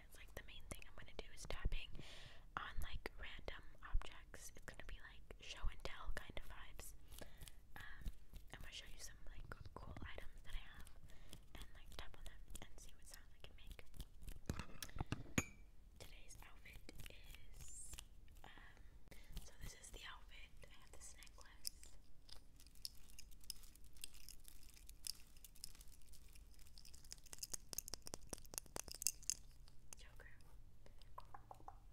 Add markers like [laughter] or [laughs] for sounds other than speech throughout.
it's like the main thing I'm gonna do is tapping on like random objects. It's gonna be like show and tell kind of vibes. Um, I'm gonna show you some like cool items that I have and like tap on them and see what sounds I can make. Today's outfit is um, so this is the outfit. I have this necklace. Joker from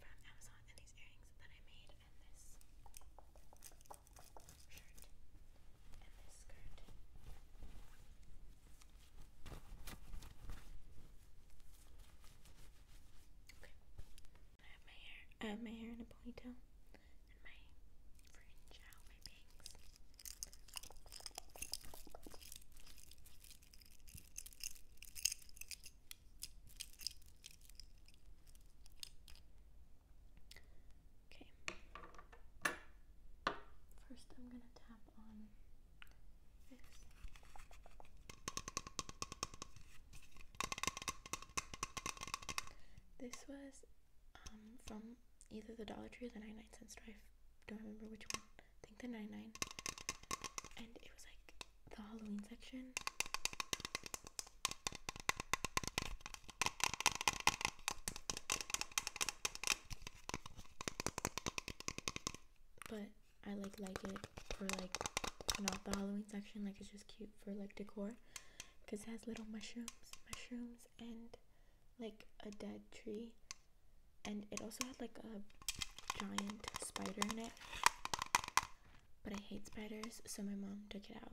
Amazon and these earrings that I made and this shirt and this skirt. Okay. I have my hair I have my hair in a ponytail and my fringe out, my bangs. Okay. First, I'm going to tap on this. This was um, from either the Dollar Tree or the Nine cent store. I don't remember which one. I think the Nine Nine. And it was like the Halloween section. But I like like it for like not the Halloween section. Like it's just cute for like decor because it has little mushrooms, mushrooms and like a dead tree and it also had like a giant spider in it but i hate spiders so my mom took it out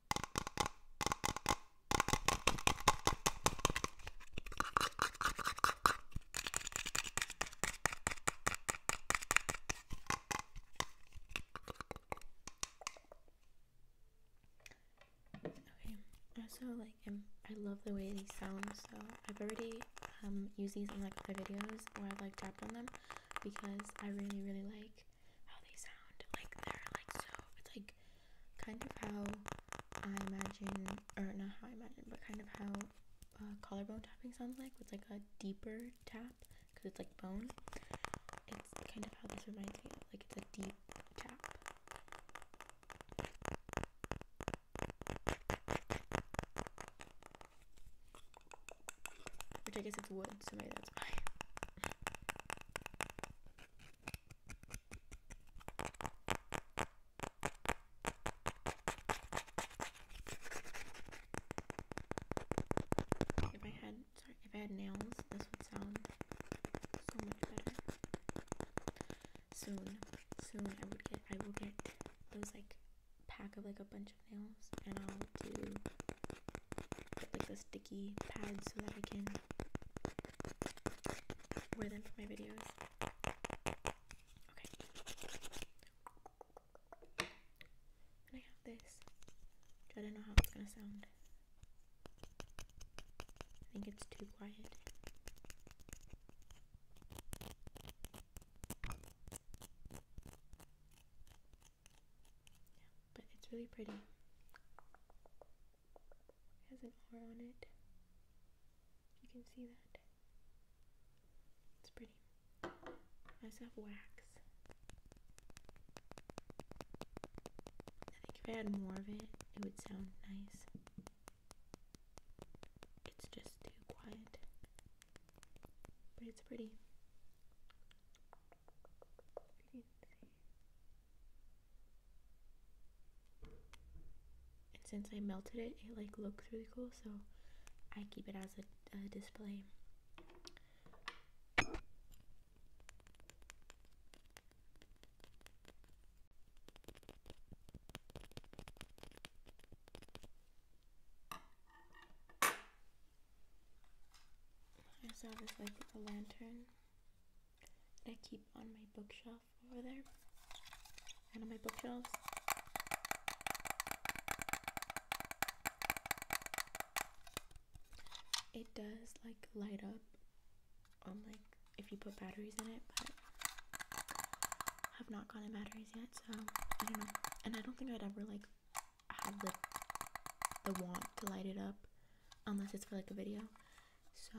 Okay, also like i love the way these sound, so I've already um used these in like other videos where I've like tapped on them because I really really like how they sound. Like they're like so it's like kind of how I imagine or not how I imagine, but kind of how uh, collarbone tapping sounds like with like a deeper tap because it's like bone. It's kind of how this reminds me of like it's a deep tap. Which I guess it's wood, so maybe that's why. if I had sorry, if I had nails, this would sound so much better. Soon, soon I would get I will get those like pack of like a bunch of nails and I'll do like the sticky pads so that I can wear them for my videos. Okay. And I have this, I don't know how it's gonna sound. I think it's too quiet. Yeah, but it's really pretty. It has an R on it. You can see that. It's pretty. I also have wax. I think if I had more of it, it would sound nice. It's just too quiet but it's pretty. And since I melted it, it like looks really cool, so I keep it as a display. I saw this light a lantern I keep on my bookshelf over there. And on my bookshelves. It does like light up on like if you put batteries in it, but have not gotten a battery yet, so I don't know. And I don't think I'd ever like have the the want to light it up unless it's for like a video. So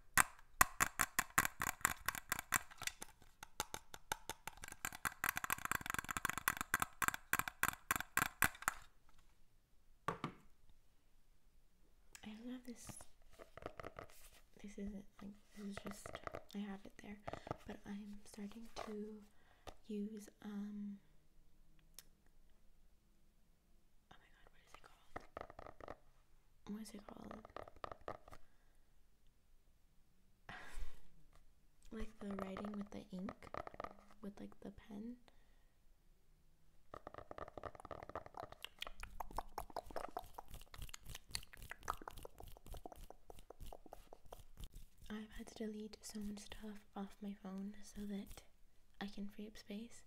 I love this. This isn't like this is just I have it there, but I'm starting to use um. Oh my god, what is it called? what is it called? [laughs] like the writing with the ink, with like the pen. I've had to delete so much stuff off my phone so that I can free up space.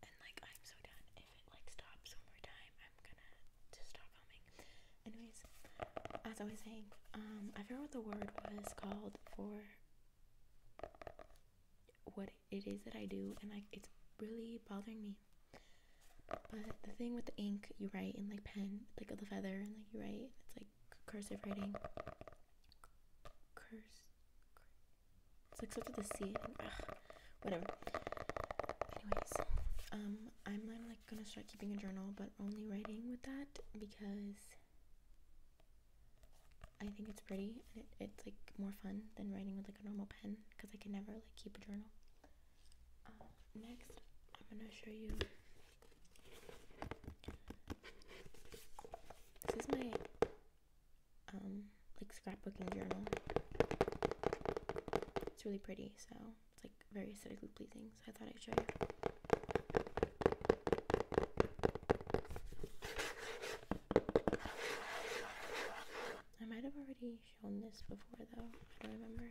And like I'm so done. If it like stops one more time, I'm gonna just stop filming. Anyways, as I was saying, um, I forgot what the word was called for what it is that I do, and like it's really bothering me. But the thing with the ink, you write in like pen, like the feather, and like you write, it's like cursive writing. Curse, it's like something to see. whatever. Anyways, um, I'm, i like gonna start keeping a journal, but only writing with that because I think it's pretty and it's like more fun than writing with like a normal pen because I can never like keep a journal. Uh, next, I'm gonna show you. This is my um, like scrapbooking journal. It's really pretty, so it's like very aesthetically pleasing. So I thought I'd show you. I might have already shown this before though. I don't remember.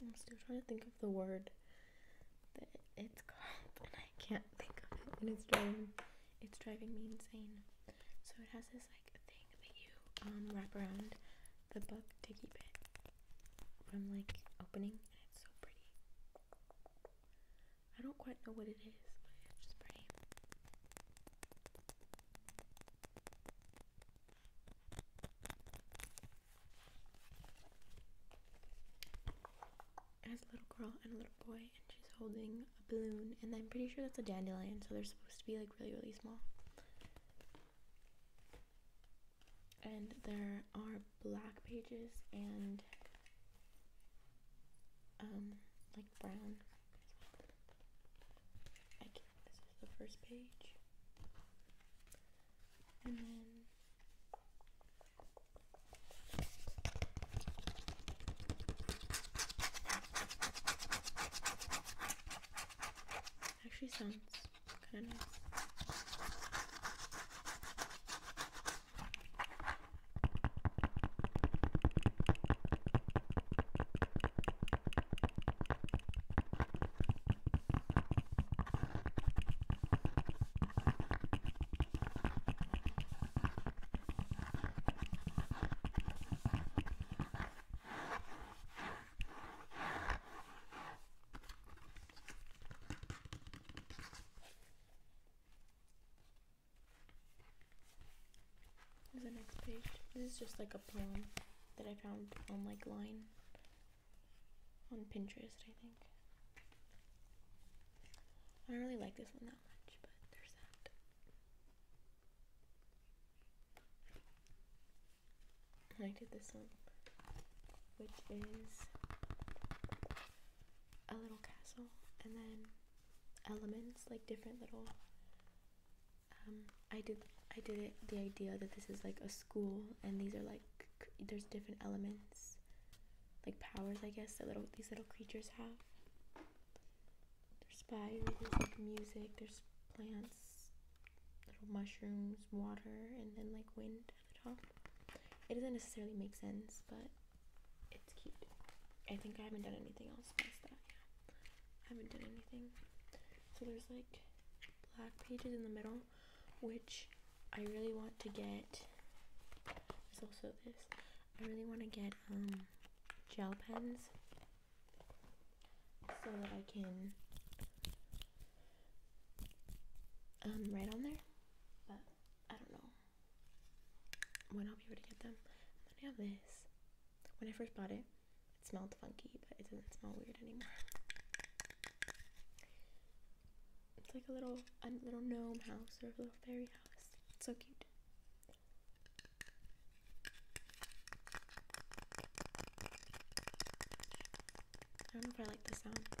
I'm still trying to think of the word that it's called, and I can't think of it, and it's driving, it's driving me insane. So it has this like thing that you um, wrap around the bug diggy bit from like opening, and it's so pretty. I don't quite know what it is, but it's just pretty. As a little girl and a little boy, and she's holding a balloon, and I'm pretty sure that's a dandelion, so they're supposed to be like really, really small and there are black pages and um like brown I this is the first page and then Actually sounds kind of nice. Here's the next page. This is just like a poem that I found on like Line on Pinterest, I think. I don't really like this one that much, but there's that. I did this one, which is a little castle and then elements, like different little. Um, I did I did it the idea that this is like a school and these are like there's different elements, like powers I guess that little these little creatures have. There's spiders, there's like music, there's plants, little mushrooms, water, and then like wind at the top. It doesn't necessarily make sense, but it's cute. I think I haven't done anything else past that. Yeah. I haven't done anything. So there's like black pages in the middle, which I really want to get. There's also this. I really want to get um, gel pens so that I can um, write on there, but I don't know when I'll be able to get them. I have this. When I first bought it, it smelled funky, but it doesn't smell weird anymore. It's like a little, a little gnome house or a little fairy house. It's so cute. I don't know if I like the sound, but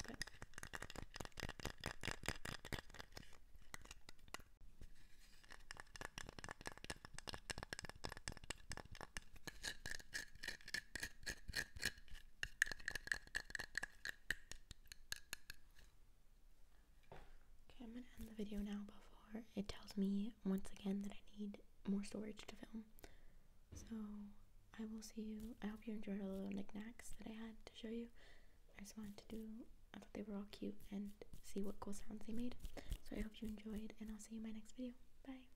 Okay, I'm gonna end the video now before it tells me once again that I need more storage to film. So I will see you. I hope you enjoyed all the knickknacks that I had to show you. I just wanted to do, I thought they were all cute and see what cool sounds they made. So I hope you enjoyed and I'll see you in my next video. Bye.